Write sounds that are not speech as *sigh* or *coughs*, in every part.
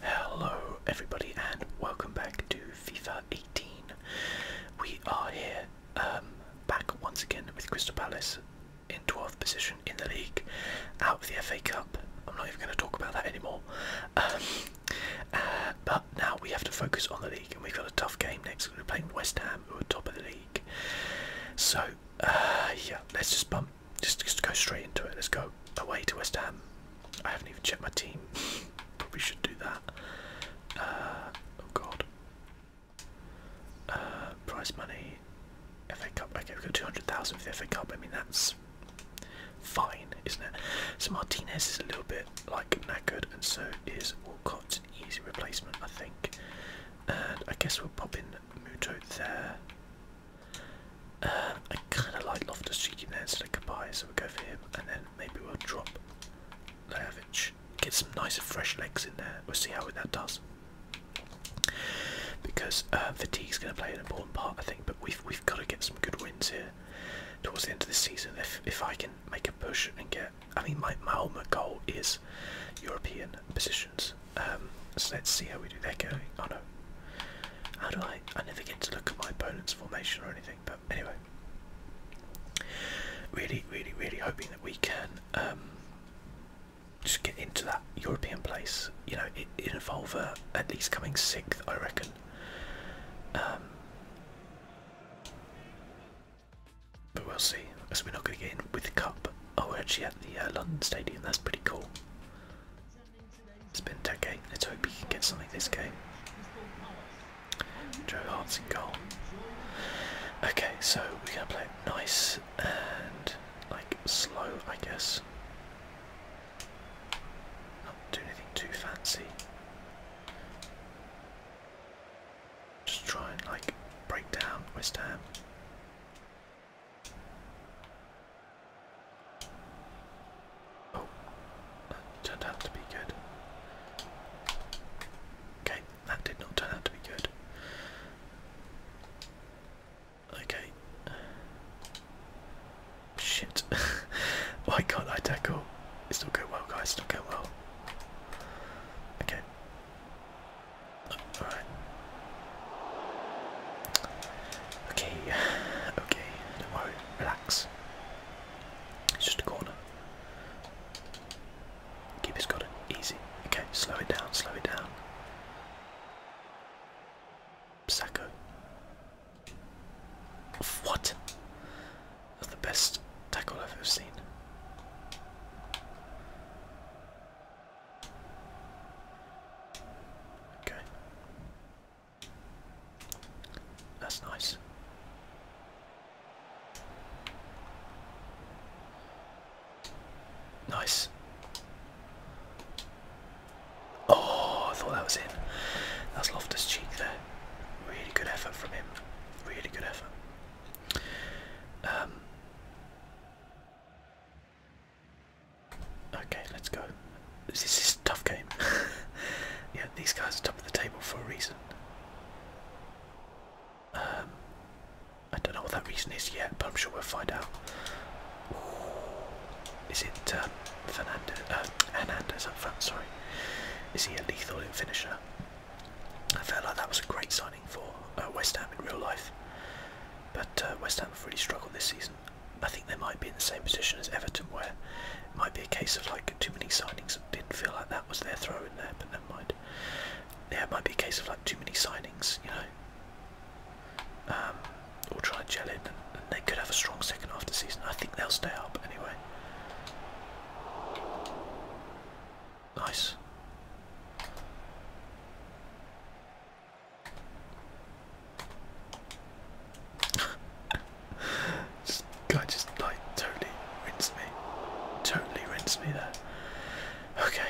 Hello everybody and welcome back to FIFA 18. We are here um, back once again with Crystal Palace in 12th position in the league, out of the FA Cup. I'm not even going to talk about that anymore. Um, uh, but now we have to focus on the league and we've got a tough game next. We're playing West Ham who are top of the league. So uh, yeah, let's just bump just, just go straight into it. Let's go away to West Ham. I haven't even checked my team. Probably should do that. Uh, oh God. Uh, money. FA Cup. Okay, we've got two hundred thousand for the FA Cup. I mean that's fine, isn't it? So Martinez is a little bit like knackered, and so is Walcott's easy replacement, I think. And I guess we'll pop in Muto there. Um, I kind of like Loftus Cheek in there instead of Kabai, so we go for him, and then maybe we'll drop Leavich. Get some nice fresh legs in there. We'll see how that does. Because uh, fatigue's going to play an important part, I think. But we've we've got to get some good wins here towards the end of this season. If if I can make a push and get, I mean, my my ultimate goal is European positions. Um, so let's see how we do. they going. Oh no. How do I? I never get to look at my opponent's formation or anything. But anyway, really, really, really hoping that we can um, just get into that European place. You know, it, it involve uh, at least coming sixth, I reckon. Um, but we'll see. As we're not going to get in with the cup. Oh, we're actually at the uh, London Stadium. That's pretty cool. It's been decade. Let's hope he can get something this game. Joe Hart's in goal. Okay, so we're gonna play it nice and like slow, I guess. Not do anything too fancy. Just try and like break down West Ham. Oh, that turned out to be good. Okay, that did not turn out to be good. Okay. Shit. *laughs* Why can't I tackle? It's not going well, guys. It's not going well. Okay. Okay, okay, don't worry, relax. It's just a corner. Keep has got easy. Okay, slow it down, slow it down. Sacko. What? That's the best tackle I've ever seen. Okay. That's nice. Nice. Oh, I thought that was in. That's Loftus Cheek there. Really good effort from him. Really good effort. Um, Okay, let's go. This is a tough game. *laughs* yeah, these guys are top of the table for a reason. Um, I don't know what that reason is yet, but I'm sure we'll find out. is it um, Fernandez? Uh, up front, sorry. Is he a lethal finisher? I felt like that was a great signing for uh, West Ham in real life, but uh, West Ham have really struggled this season. I think they might be in the same position as Everton, where it might be a case of like too many signings. Didn't feel like that was their throw in there, but never mind. Yeah, it might be a case of like too many signings, you know. Um, or try to gel in, and, they could have a strong second half season. I think they'll stay up anyway. Nice. This guy just like totally rinsed me. Totally rinsed me there. Okay.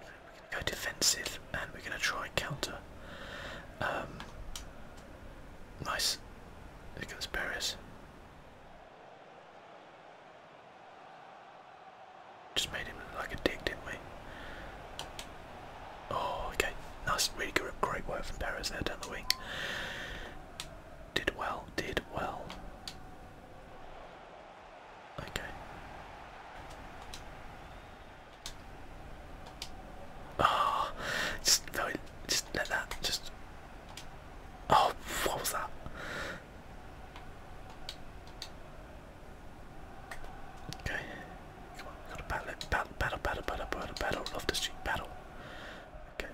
We're gonna go defensive and we're gonna try counter. Um, nice. There goes just made him look like a dick, didn't we? Oh, okay. Nice, really good, great work from Perez there down the wing. Did well, did well. Okay. Oh, just, no, just let that, just. Oh, what was that? Okay, come on, gotta battle battle, battle, battle, battle, battle, battle, love the street, battle. Okay.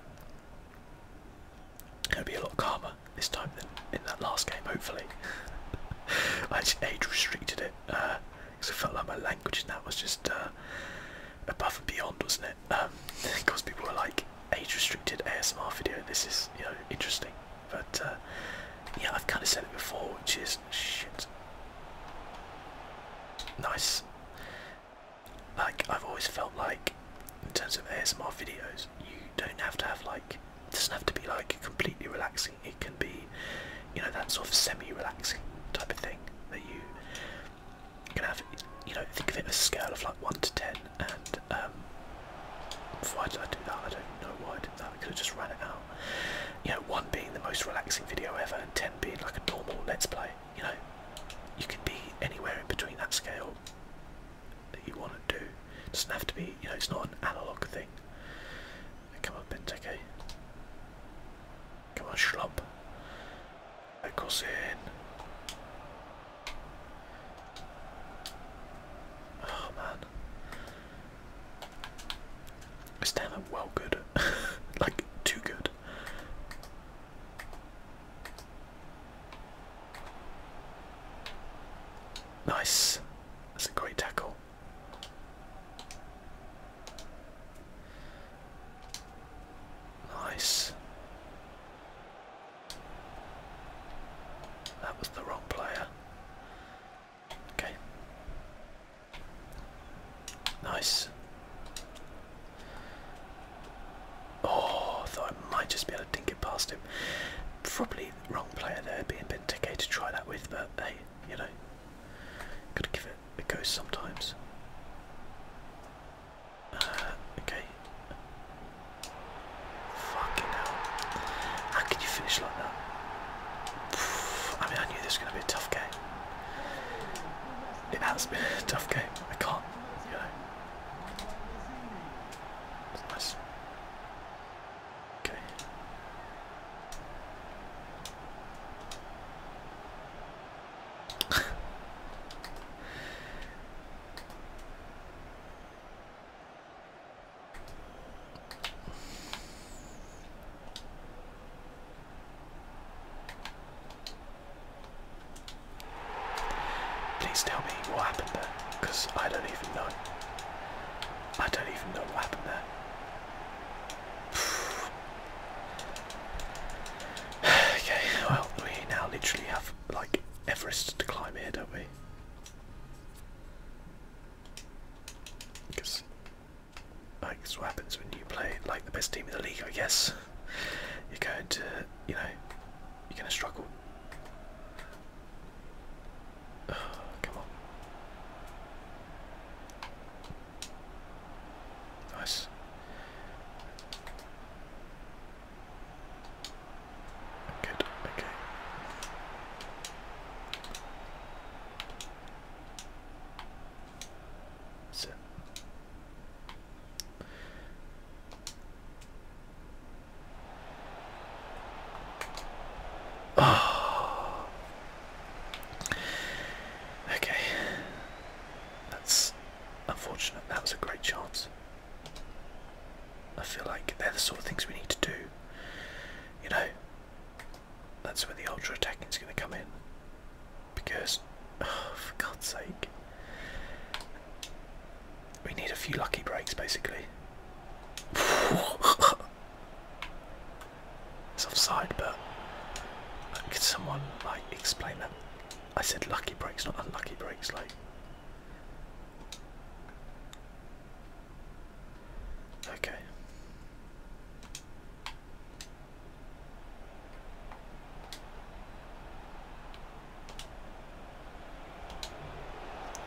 Gonna be a lot calmer this time than in that last game, hopefully. *laughs* I just age restricted it, because uh, I felt like my language in that was just uh, above and beyond, wasn't it? Because um, *laughs* people were like, age restricted ASMR video, this is, you know, interesting. But uh, yeah, I've kind of said it before, which is shit. Nice. Like I've always felt like, in terms of ASMR videos, you don't have to have like. It doesn't have to be like completely relaxing. It can be, you know, that sort of semi-relaxing type of thing that you can have. You know, think of it as a scale of like one to ten, and um, why did I do that? I don't know why I did that. I could have just run it out. You know, one being the most relaxing video ever, and ten being like a normal let's play. You know, you can be anywhere in between that scale that you want to do. It doesn't have to be. You know, it's not an analog thing. Come on, Benteke. Come on, Schlump. Eccles in. Oh man. It's well good. *laughs* like too good. Nice. That's a great tackle. Nice. That was the wrong player. Okay. Nice. Oh, I thought I might just be able to dink it past him. Probably wrong player there, being Benteke to try that with, but hey, you know, gotta give it a go sometimes. Uh, okay. Fucking hell. How can you finish like that? I mean, I knew this was going to be a tough game. It has been a tough game. I can't, nice. Okay. *laughs* Please tell me what happened there, because I don't even know. I don't even know what happened there. *sighs* okay, well, we now literally have like Everest to climb here, don't we? Because like that's what happens when you play like the best team in the league, I guess. You're going to, you know, you're going to struggle. *sighs* come on. Nice. Good, okay. So Oh. Okay. That's unfortunate. That was a great chance. I feel like they're the sort of things we need to do. You know, that's where the ultra attacking is going to come in. Because, *sighs* for God's sake, we need a few lucky breaks basically. *laughs* it's offside, but could someone like explain that? I said lucky breaks, not unlucky breaks. Like, Okay.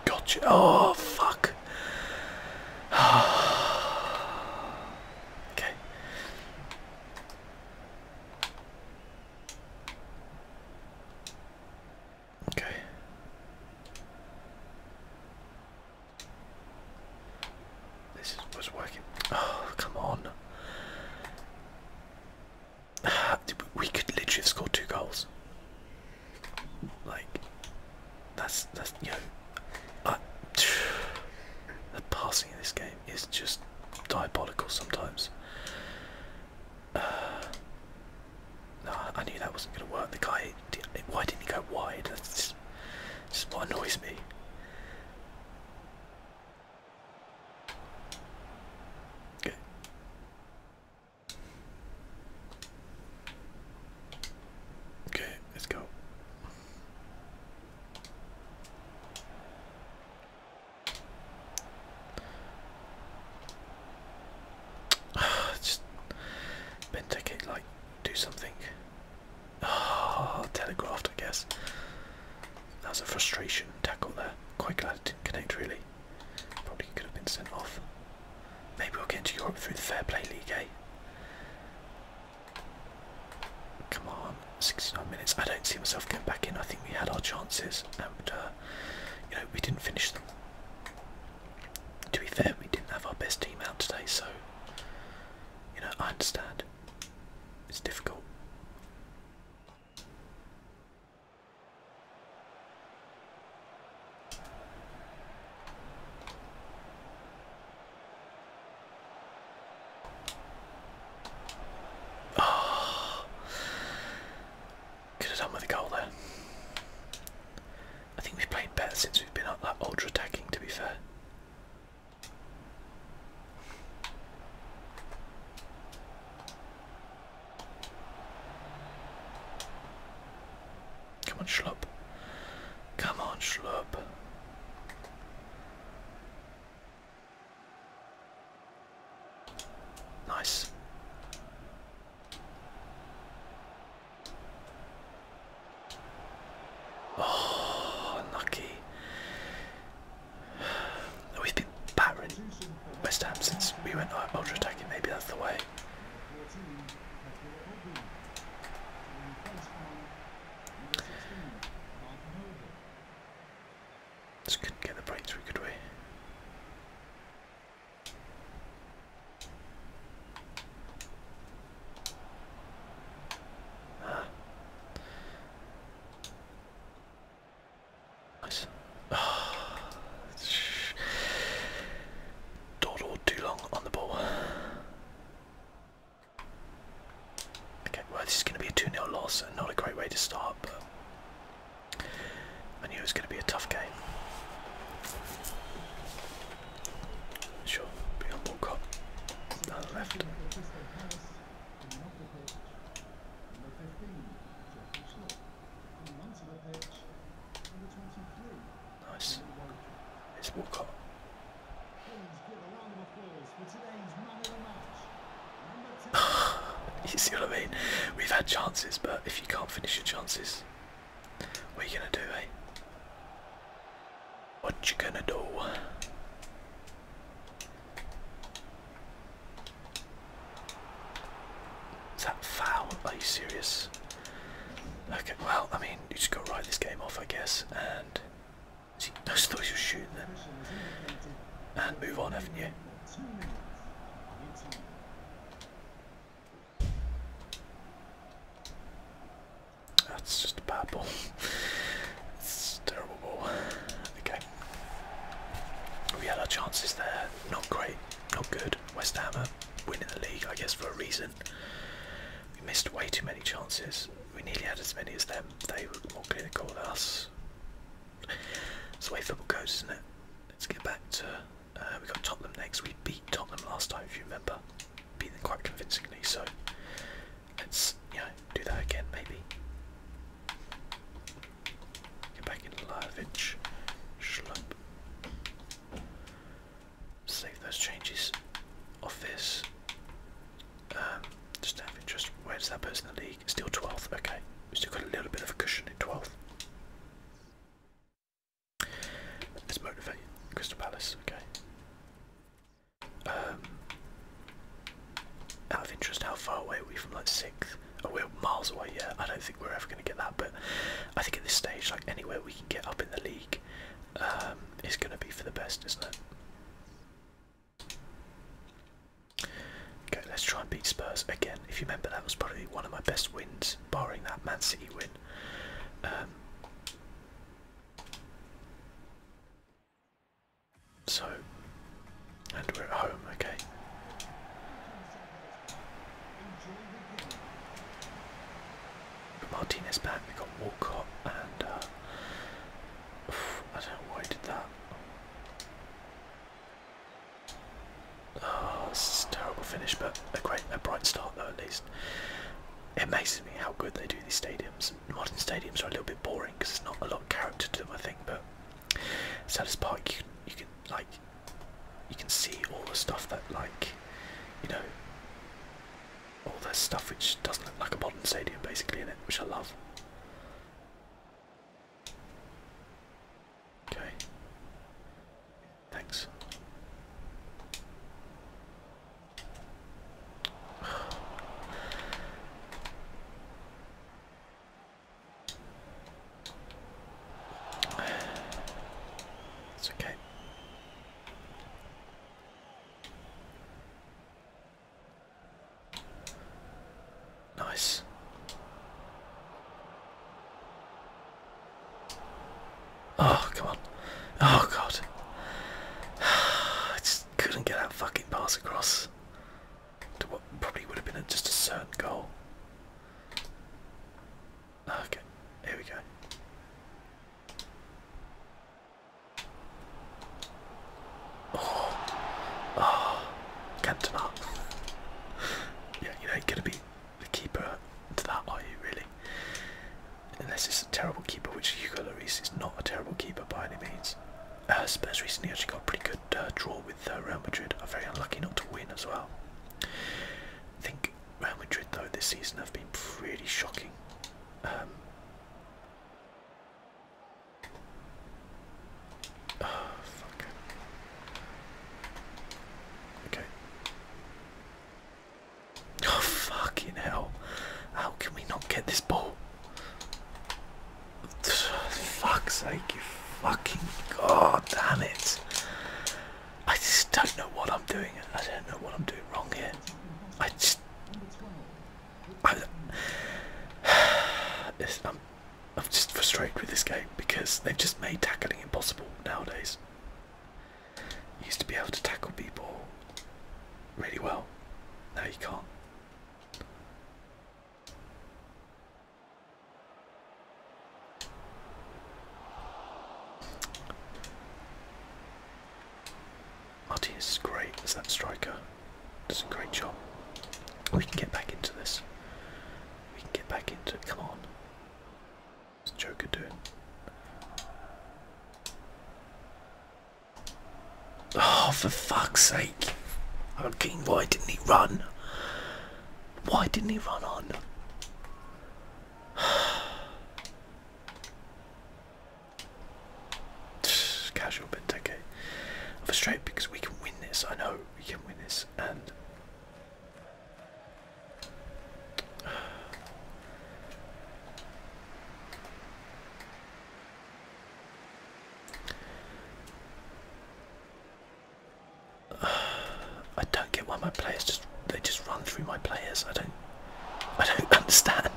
Gotcha. Oh, fuck. *sighs* okay. Okay. This was working. Oh, come on. *sighs* We could literally have scored two goals. Like, that's, that's you know, *sighs* the passing in this game is just diabolical sometimes. *sighs* no, I knew that wasn't going to work. The guy, why didn't he go wide? That's just, what annoys me. Good. Okay, let's go. *sighs* Just Benteke, like, do something. *sighs* telegraphed, I guess. That was a frustration tackle there. Quite glad it didn't connect, really. Probably could have been sent off. Maybe we'll get into Europe through the Fair Play League, eh? Come on, 69 minutes. I don't see myself coming back in. I think we had our chances, and uh, you know, we didn't finish them. To be fair, we didn't have our best team out today, so you know, I understand. It's difficult. Oh, could have done with a goal there. I think we've played better since we've been up that ultra attacking to be fair. Come on, Schlup. Come on, Schlup. Nice. Oh, unlucky. We've been battering West Ham since we went uh, ultra attacking, maybe that's the way. Just couldn't get the breakthrough, could we? Ah. *sighs* Nice. Don't hold too long on the ball. Okay, well this is going to be a 2-0 loss and not a great way to start, I knew it was going to be a tough game. Sure, beyond Walcott, Nice. It's Walcott. *sighs* you see what I mean? We've had chances, but if you can't finish your chances, what are you gonna do, eh? What you gonna do? that foul? Are you serious? Okay, well, I mean, you just gotta write this game off, I guess, and see, I just thought you were shooting them. And move on, haven't you? That's just a bad ball. it's terrible ball. Okay. We had our chances there. Not great. Not good. West Ham are winning the league, I guess, for a reason. We missed way too many chances. We nearly had as many as them. They were more clinical than us. That's the way football goes, isn't it? Let's get back to. Uh, we got Tottenham next. We beat Tottenham last time, if you remember. Beat them quite convincingly, so let's you know do that again, maybe. Get back in live. Schlup. Save those changes. of this. Um, just out of where does that person in the league? Still 12th. Okay, we still got a little bit of a cushion. 12th. Let's motivate Crystal Palace, okay. Um, out of interest, how far away are we from like 6th? we're miles away, yeah. I don't think we're ever going to get that, but I think at this stage, like anywhere we can get up in the league um, is going to be for the best, isn't it? Okay, let's try and beat Spurs again. If you remember, that was probably one of my best wins, barring that Man City win. Um, so, and we're at home, okay. Martinez back, we got Walcott and uh, I don't know why I did that. Oh, this is a terrible finish, but a great, a bright start though at least. It amazes me how good they do these stadiums. Modern stadiums are a little bit boring because there's not a lot of character to them, I think. But Sellers Park, you can, you can like, you can see all the stuff that like, you know, all the stuff which doesn't look like a modern stadium, basically in it, which I love. Okay. Thanks. *sighs* It's okay. Nice. Oh, come on. Oh, God. *sighs* I just couldn't get that fucking pass across to what probably would have been just a certain goal. Okay, here we go. Oh, oh, Cantona. *laughs* yeah, you know, gonna be the keeper to that, are you really? Unless it's a terrible keeper, which Hugo Lloris is not a terrible keeper by any means. Uh, Spurs recently actually got a pretty good uh, draw with uh, Real Madrid. Are very unlucky not to win as well. I think Real Madrid though this season have been pretty shocking. Um, Oh, *sighs* fuck. Okay. Oh, *sighs* fucking hell. How can we not get this ball? *sighs* Fuck's sake, you fucking god damn it. I just don't know what I'm doing. I don't know what I'm doing wrong here. I just. I, I'm just frustrated with this game because they've just made tackling impossible nowadays. used to be able to tackle people really well. Now you can't. Martinez is great as that striker. Does a great job. We can get back into this. We can get back into it. Come on. What's Joker doing? Oh, for fuck's sake. I'm keen. Why didn't he run? Why didn't he run on? *sighs* Casual bit, okay. I'm frustrated because we can win this, I know we can win this and *sighs* I don't get why my players just they just run through my players. I don't I don't *laughs* understand.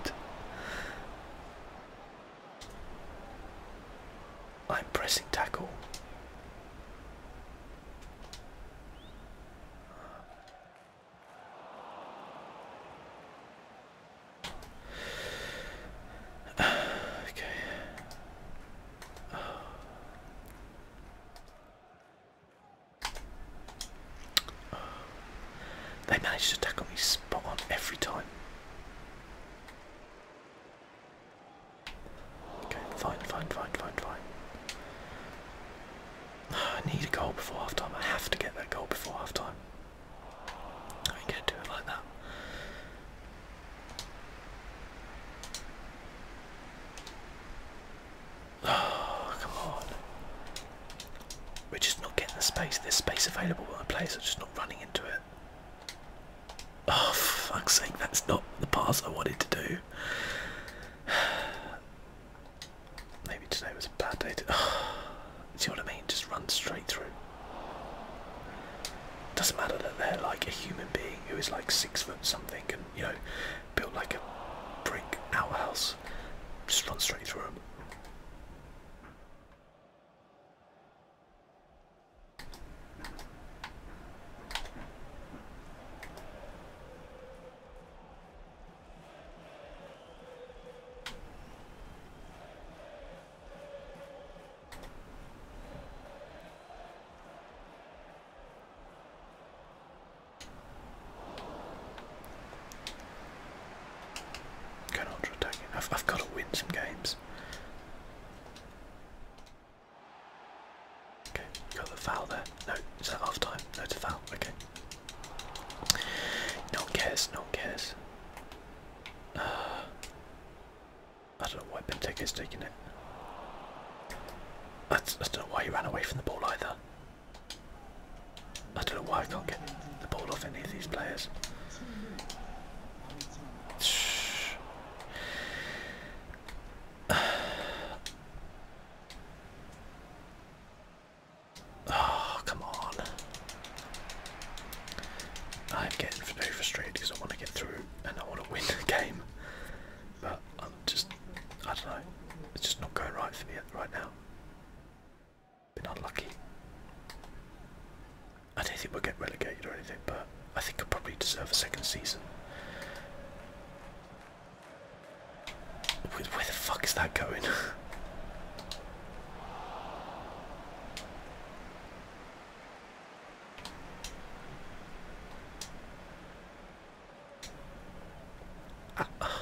I'm pressing tackle. *sighs* okay. They managed to tackle me spot on every time. Okay, fine, fine, fine, fine, fine. *sighs* I need a goal before half time. I have to get that goal before half time. I ain't going do it like that. *sighs* Oh, come on. We're just not getting the space. There's space available, on the I'm just not running into it. Oh, for fuck's that's not the pass I wanted to do. *sighs* Maybe today was a bad day to. *sighs* Oh, see what I mean? Just run straight through. Doesn't matter that they're like a human being who is like six foot something and, you know, built like a brick outhouse. Just run straight through them. Can ultra attack it. i I've got to win some games. Okay, got the foul there. No, is that half time? No, it's a foul. Okay. No one cares, no one cares. Uh, I don't know why is taking it. I don't know why he ran away from the ball either. I don't know why I can't get the ball off any of these players. *sighs* Oh, come on. I'm getting very frustrated because I want to get through and I want to win the game. But I'm just, I don't know, it's just not going right for me right now. Been unlucky. I don't think we'll get relegated or anything, but I think I probably deserve a second season. Where the fuck is that going? ah.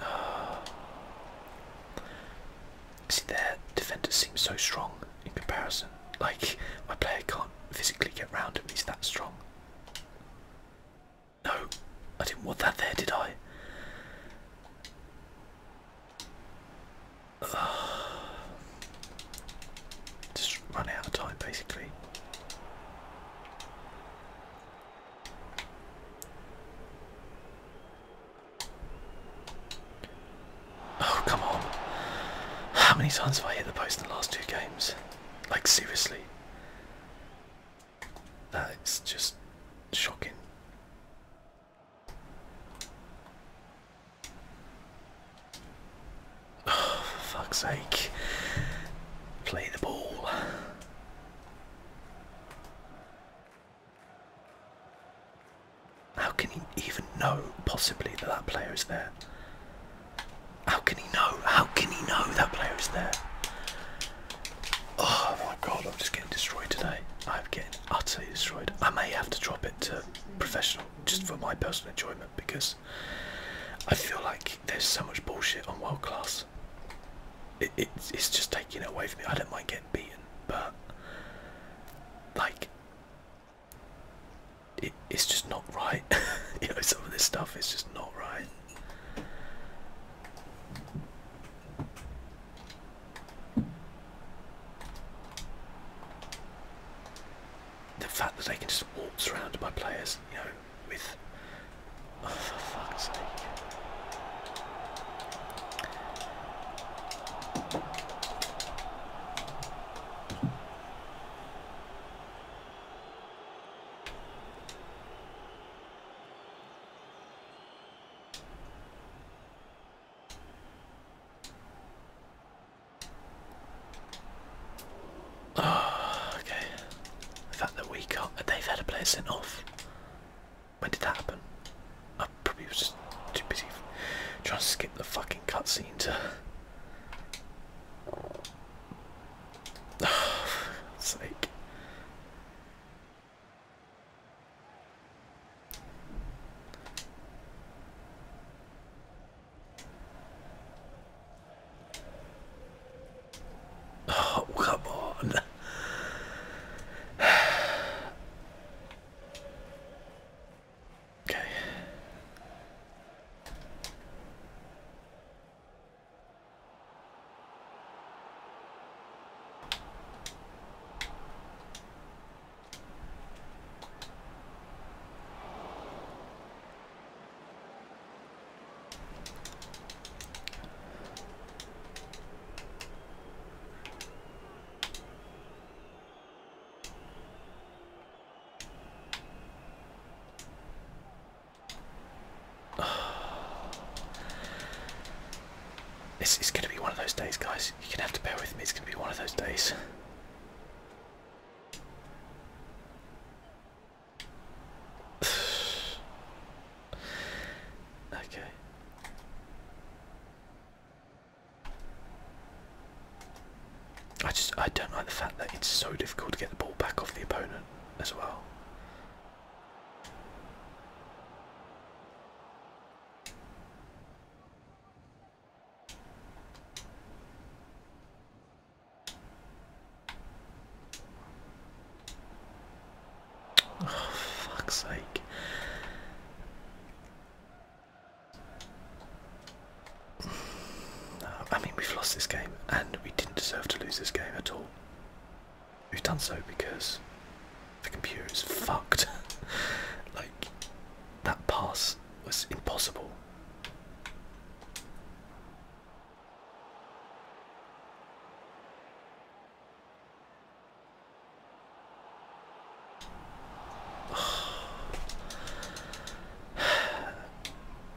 Uh, *sighs* see, their defenders seem so strong in comparison. Like, my player can't physically get round him, he's that strong. No, I didn't want that there, did I? *sighs* just run out of time, basically. Oh, come on. How many times have I hit the post in the last two games? Like, seriously. That's just shocking. *sighs* for fuck's sake. Play the ball. How can he even know possibly that that player is there? How can he know? How can he know that player is there? Oh my god, I'm just getting destroyed today. I'm getting utterly destroyed. I may have to drop it to professional just for my personal enjoyment because I feel like there's so much bullshit on world class it's, it's just taking it away from me. I don't mind getting beaten, but like it's just not right. *laughs* you know, some of this stuff is just not right. The fact that they can just waltz around my players, you know, with Oh, for fuck's sake. Oh, okay. The fact that we got they've had a player sent off. When did that happen? I probably was just too busy trying to skip the fucking cutscene to. *sighs* sake. Oh, come on. okay. This *sighs* is going to be one of those days, guys. You're going to have to bear with me. It's going to be one of those days. *sighs* *sighs* Okay. I just I don't like the fact that it's so difficult to get the ball back off the opponent as well. Oh, fuck's sake. I mean, we've lost this game, and we didn't deserve to lose this game at all. We've done so because the computer is fucked. *laughs* like, that pass was impossible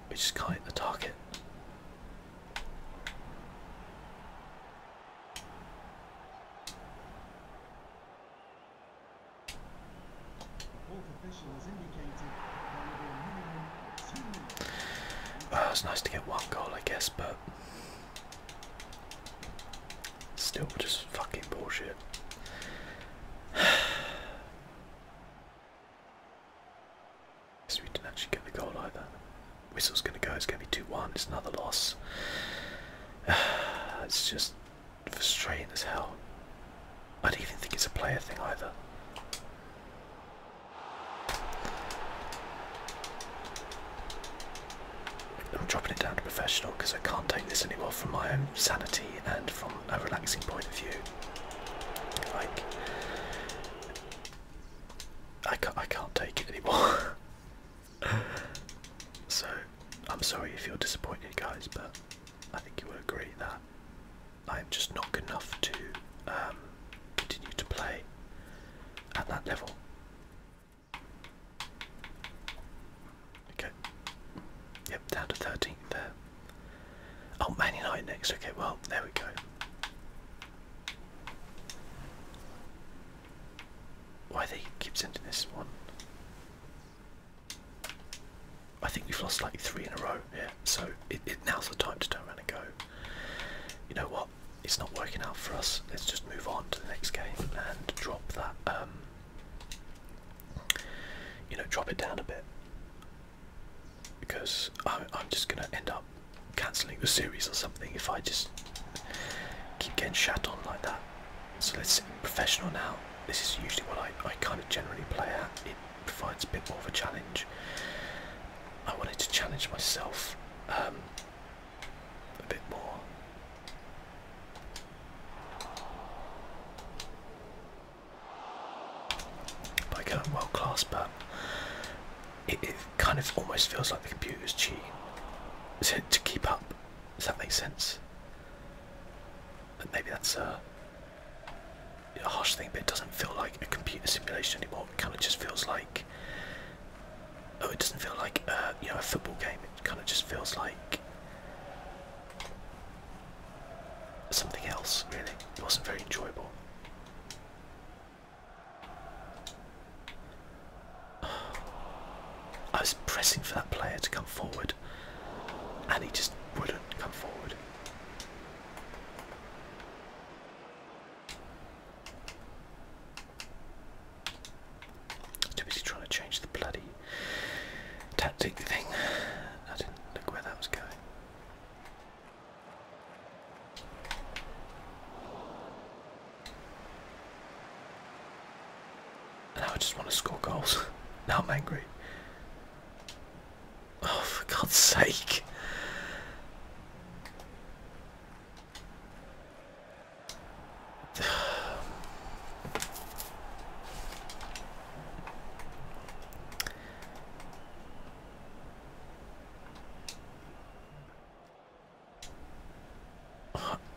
we just can't hit the target. Uh, it's nice to get one goal, I guess, but still just fucking bullshit. Guess *sighs* we didn't actually get the goal either. Whistle's gonna go, it's gonna be 2 1, it's another loss. *sighs* it's just frustrating as hell. I don't even think it's a player thing either. I'm dropping it down to professional because I can't take this anymore from my own sanity and from a relaxing point of view. Like, I can't, I can't take it anymore. *laughs* so, I'm sorry if you're disappointed, guys, but I think you would agree that I'm just not good enough to um, continue to play at that level. Okay. Yep, down to 13th there. Oh, Man United next. Okay, well, there we go. Why they keep sending this one? I think we've lost like three in a row, yeah. So it, it now's the time to turn around and go. You know what? it's not working out for us. Let's just move on to the next game and drop that. Um, you know, drop it down a bit because I'm, just gonna end up cancelling the series or something if I just keep getting shat on like that. So let's professional now. This is usually what I, I kind of generally play at. It provides a bit more of a challenge. I wanted to challenge myself um, a bit more. But I world class, but it, kind of almost feels like the computer's cheating to keep up. Does that make sense? But maybe that's a, a harsh thing, but it doesn't feel like a computer simulation anymore. It kind of just feels like oh, it doesn't feel like uh, you know a football game. It kind of just feels like something else. Really, it wasn't very enjoyable. *sighs* I was pressing for that player to come forward, and he just wouldn't come forward. Too busy trying to change the bloody tactic thing. I didn't look where that was going. And now I just want to score goals. *laughs* now I'm angry. Oh, for God's sake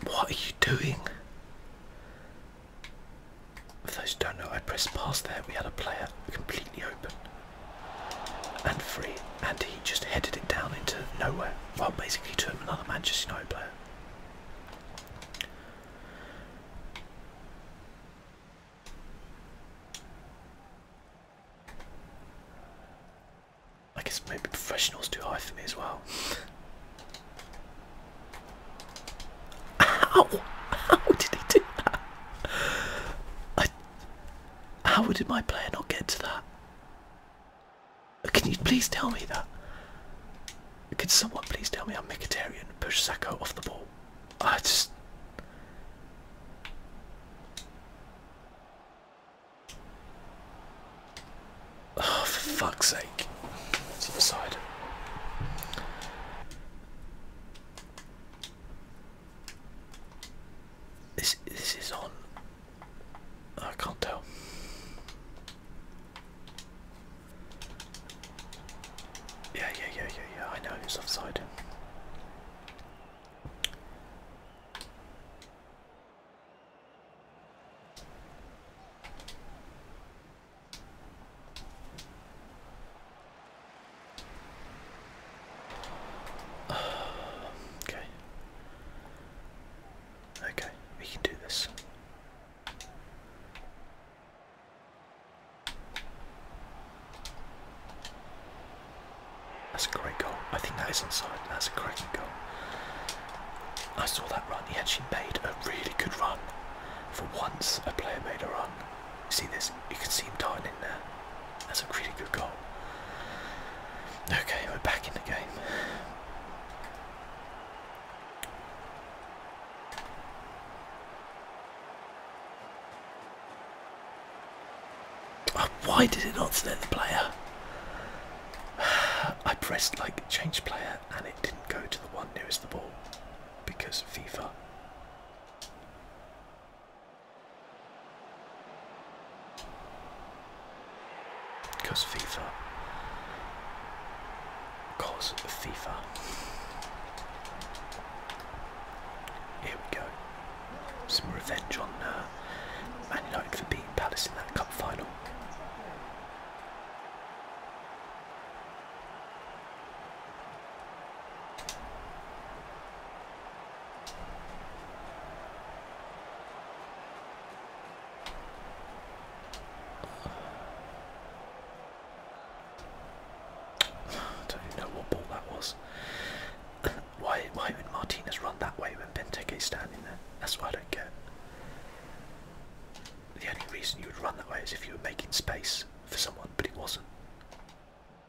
what are you doing? For those who don't know, I pressed past there. We had a player completely open and free, and he just headed it down into nowhere. Well, basically to another Manchester United player. I guess maybe professional's too high for me as well. *laughs* Ow! How did he do that? How did my player not get to that? Can you please tell me that? Could someone please tell me I'm Mkhitaryan pushed Sacco off the ball? I just... Oh, for fuck's sake. It's side. This this is on. I can't tell. Yeah, yeah, yeah, yeah, yeah. I know it's offside. *sighs* okay. Okay, we can do this. That's a great goal. I think that is onside. That's a cracking goal. I saw that run. He actually made a really good run. For once, a player made a run See this? You can see him darting there. That's a pretty good goal. Okay, we're back in the game. Oh, why did it not select the player? *sighs* I pressed like change player and it didn't go to the one nearest the ball because FIFA. Because FIFA. Because FIFA. Here we go. Some revenge on uh, Man United for beating Palace in that cup final. I don't even know what ball that was. *coughs* why why would Martinez run that way when Benteke's standing there? That's why I don't get. The only reason you would run that way is if you were making space for someone, but it wasn't.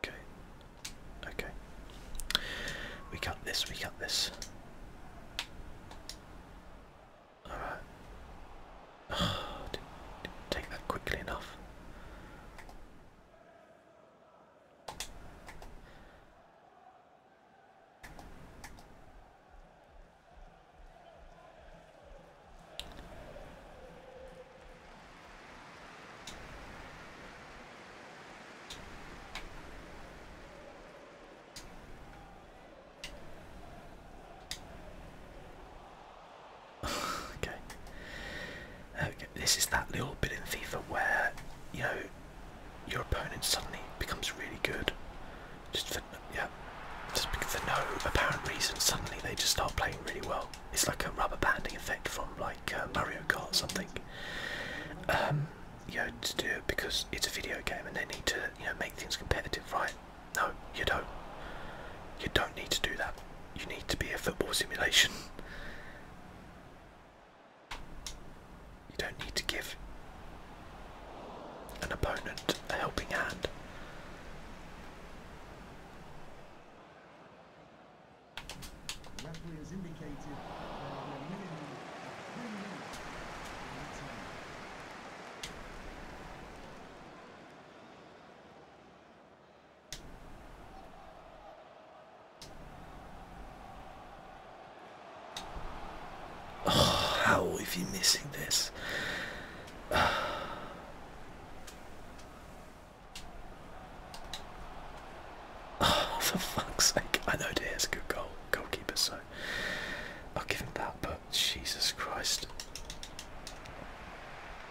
Okay. Okay. We cut this, we cut this. Alright. *sighs* didn't take that quickly enough. *sighs* okay. Okay, this is that little bit in FIFA where you know your opponent suddenly becomes really good, just for yeah, just for no apparent reason. Suddenly they just start playing really well. It's like a rubber banding effect from like uh, Mario Kart or something. Um, you know, to do it because it's a video game and they need to, you know, make things competitive, right? No, you don't. You don't need to do that. You need to be a football simulation. You don't need to give an opponent a helping hand. Referee has indicated there are a minimum of three minutes in the time. Oh, how are you missing this? Oh, for fuck's sake. I know it is a good goal, goalkeeper, so I'll give him that, but Jesus Christ.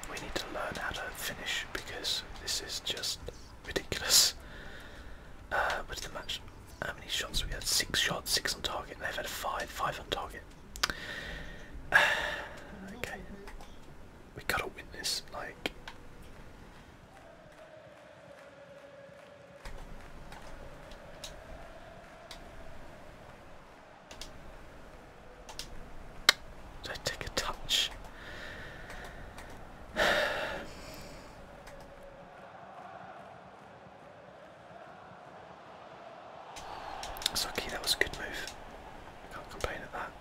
We need to learn how to finish because this is just ridiculous. Uh, what's the match? How many shots? We had six shots, six on target, they've had five, five on target. *sighs* okay. We gotta win this, like. Don't *sighs* take a touch. *sighs* That's lucky, that was a good move. I can't complain at that.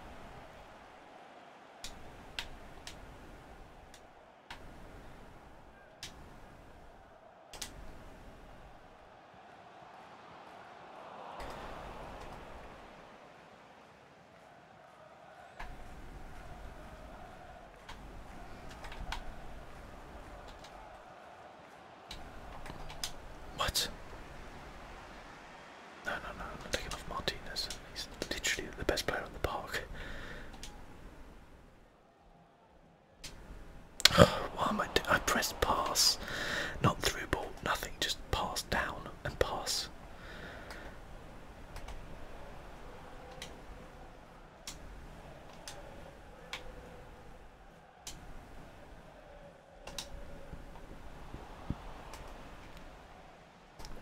What? No, no, no, I'm not taking off Martinez. He's literally the best player on the park. Oh, *sighs* am I doing? I pressed pass, not through ball, nothing, just pass down and pass.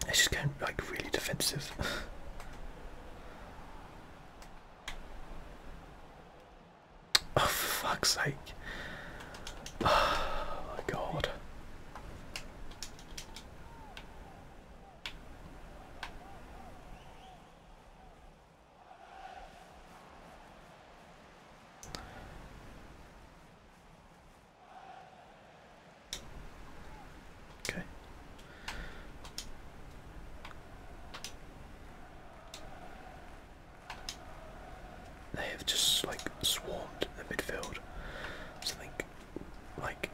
It's just going like really defensive. *sighs* oh, fuck's sake. *sighs* Oh my god. Okay. They have just like swarmed the midfield. Something like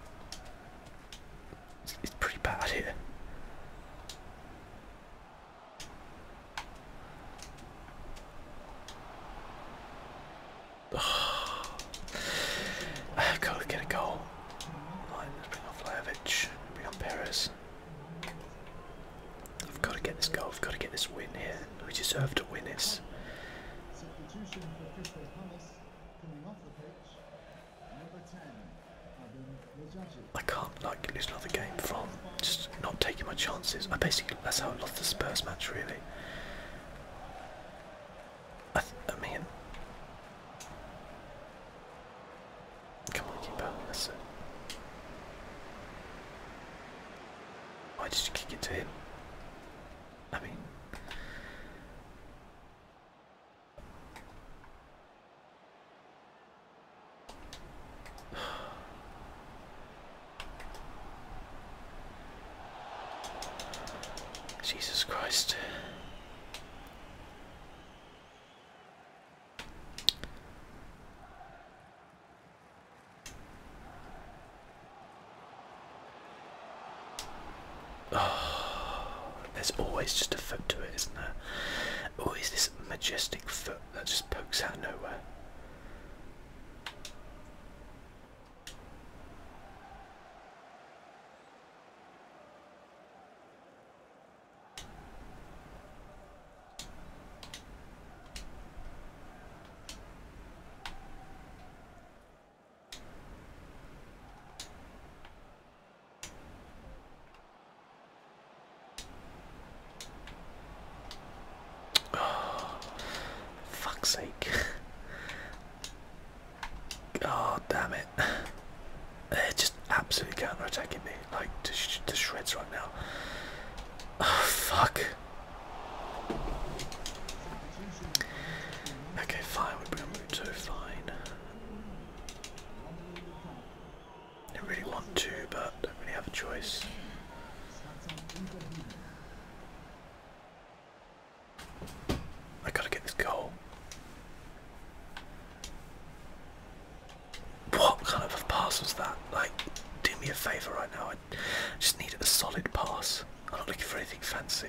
it's pretty bad here. *sighs* I've got to get a goal. bring on Vlahovic, bring on Perez. I've got to get this goal, I've got to get this win here. We deserve to win this. Substitution for Crystal Palace coming off the pitch. Number 10, I can't like lose another game from just not taking my chances. I basically that's how I lost the Spurs match really. I, th come on, keeper, that's Why did you kick it to him? I mean. *sighs* Jesus Christ. Oh, *sighs* there's always just a foot to it, isn't there? Always this majestic foot that just pokes out nowhere. Oh, *sighs* fuck's sake. *laughs* Oh, damn it. *sighs* they just absolutely counter attacking me, like to, shreds right now. Oh, *sighs* fuck. Okay, fine, we bring a move to fine. Don't really want to, but don't really have a choice. I gotta get this goal. What kind of pass was that? Like, do me a favour right now. I just need a solid pass. I'm not looking for anything fancy.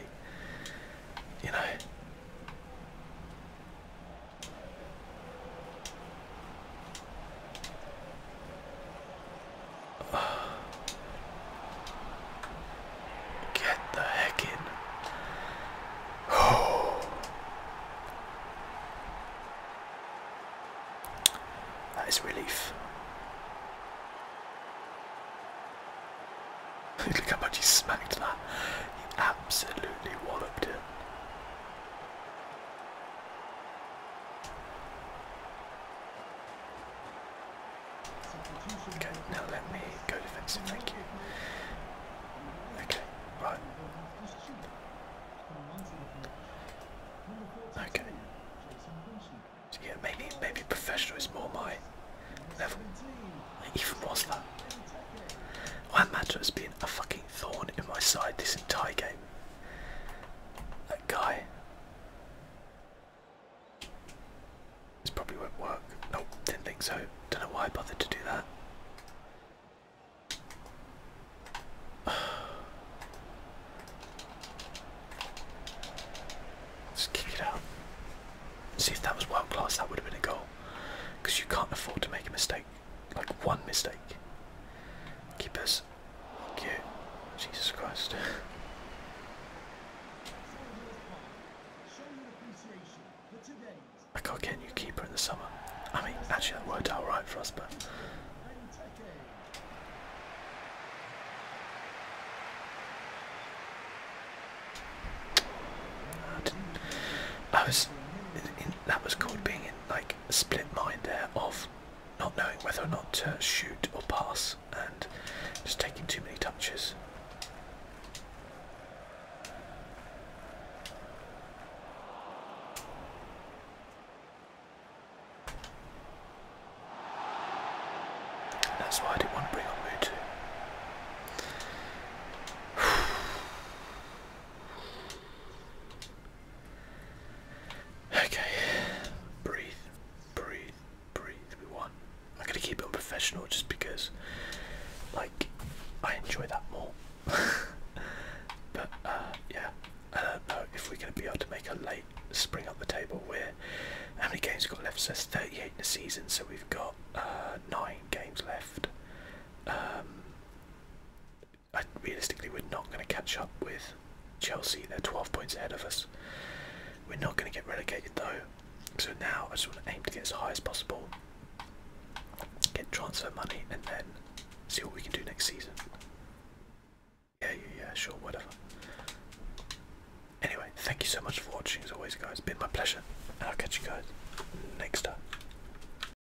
You know? Get the heck in. Oh. *sighs* That is relief. *laughs* Look how much he smacked that. He absolutely walloped it. Okay, now let me go defensive, thank you. Okay, right. Okay. So yeah, maybe maybe professional is more my level. Even was that. Juan Mata has been a fucking thorn in my side this entire game. That guy. This probably won't work. Nope, didn't think so. Don't know why I bothered to do that. *sighs* Just kick it out. See if that was world class, that would have been a goal. Because you can't afford to make a mistake like one mistake. Keepers. Cute. Jesus Christ. I got not get a new keeper in the summer. I mean, actually, that worked out right for us, but. I was. In, that was called being in, like, split mind there of not knowing whether or not to shoot or pass and just taking too many touches. That's why I didn't want to bring on Mutu. Okay, breathe, breathe, breathe. We won. I'm gonna keep it professional just because, like, I enjoy that more. *laughs* but uh, yeah, I don't know if we're gonna be able to make a late spring up the table. Where how many games got left? So 38 in the season. So we've got uh, nine games left. Um, I, realistically, we're not going to catch up with Chelsea. They're 12 points ahead of us. We're not going to get relegated though. So now I just want to aim to get as high as possible, get transfer money, and then see what we can do next season. Yeah, yeah, yeah, sure, whatever. Anyway, thank you so much for watching as always, guys. been my pleasure, and I'll catch you guys next time.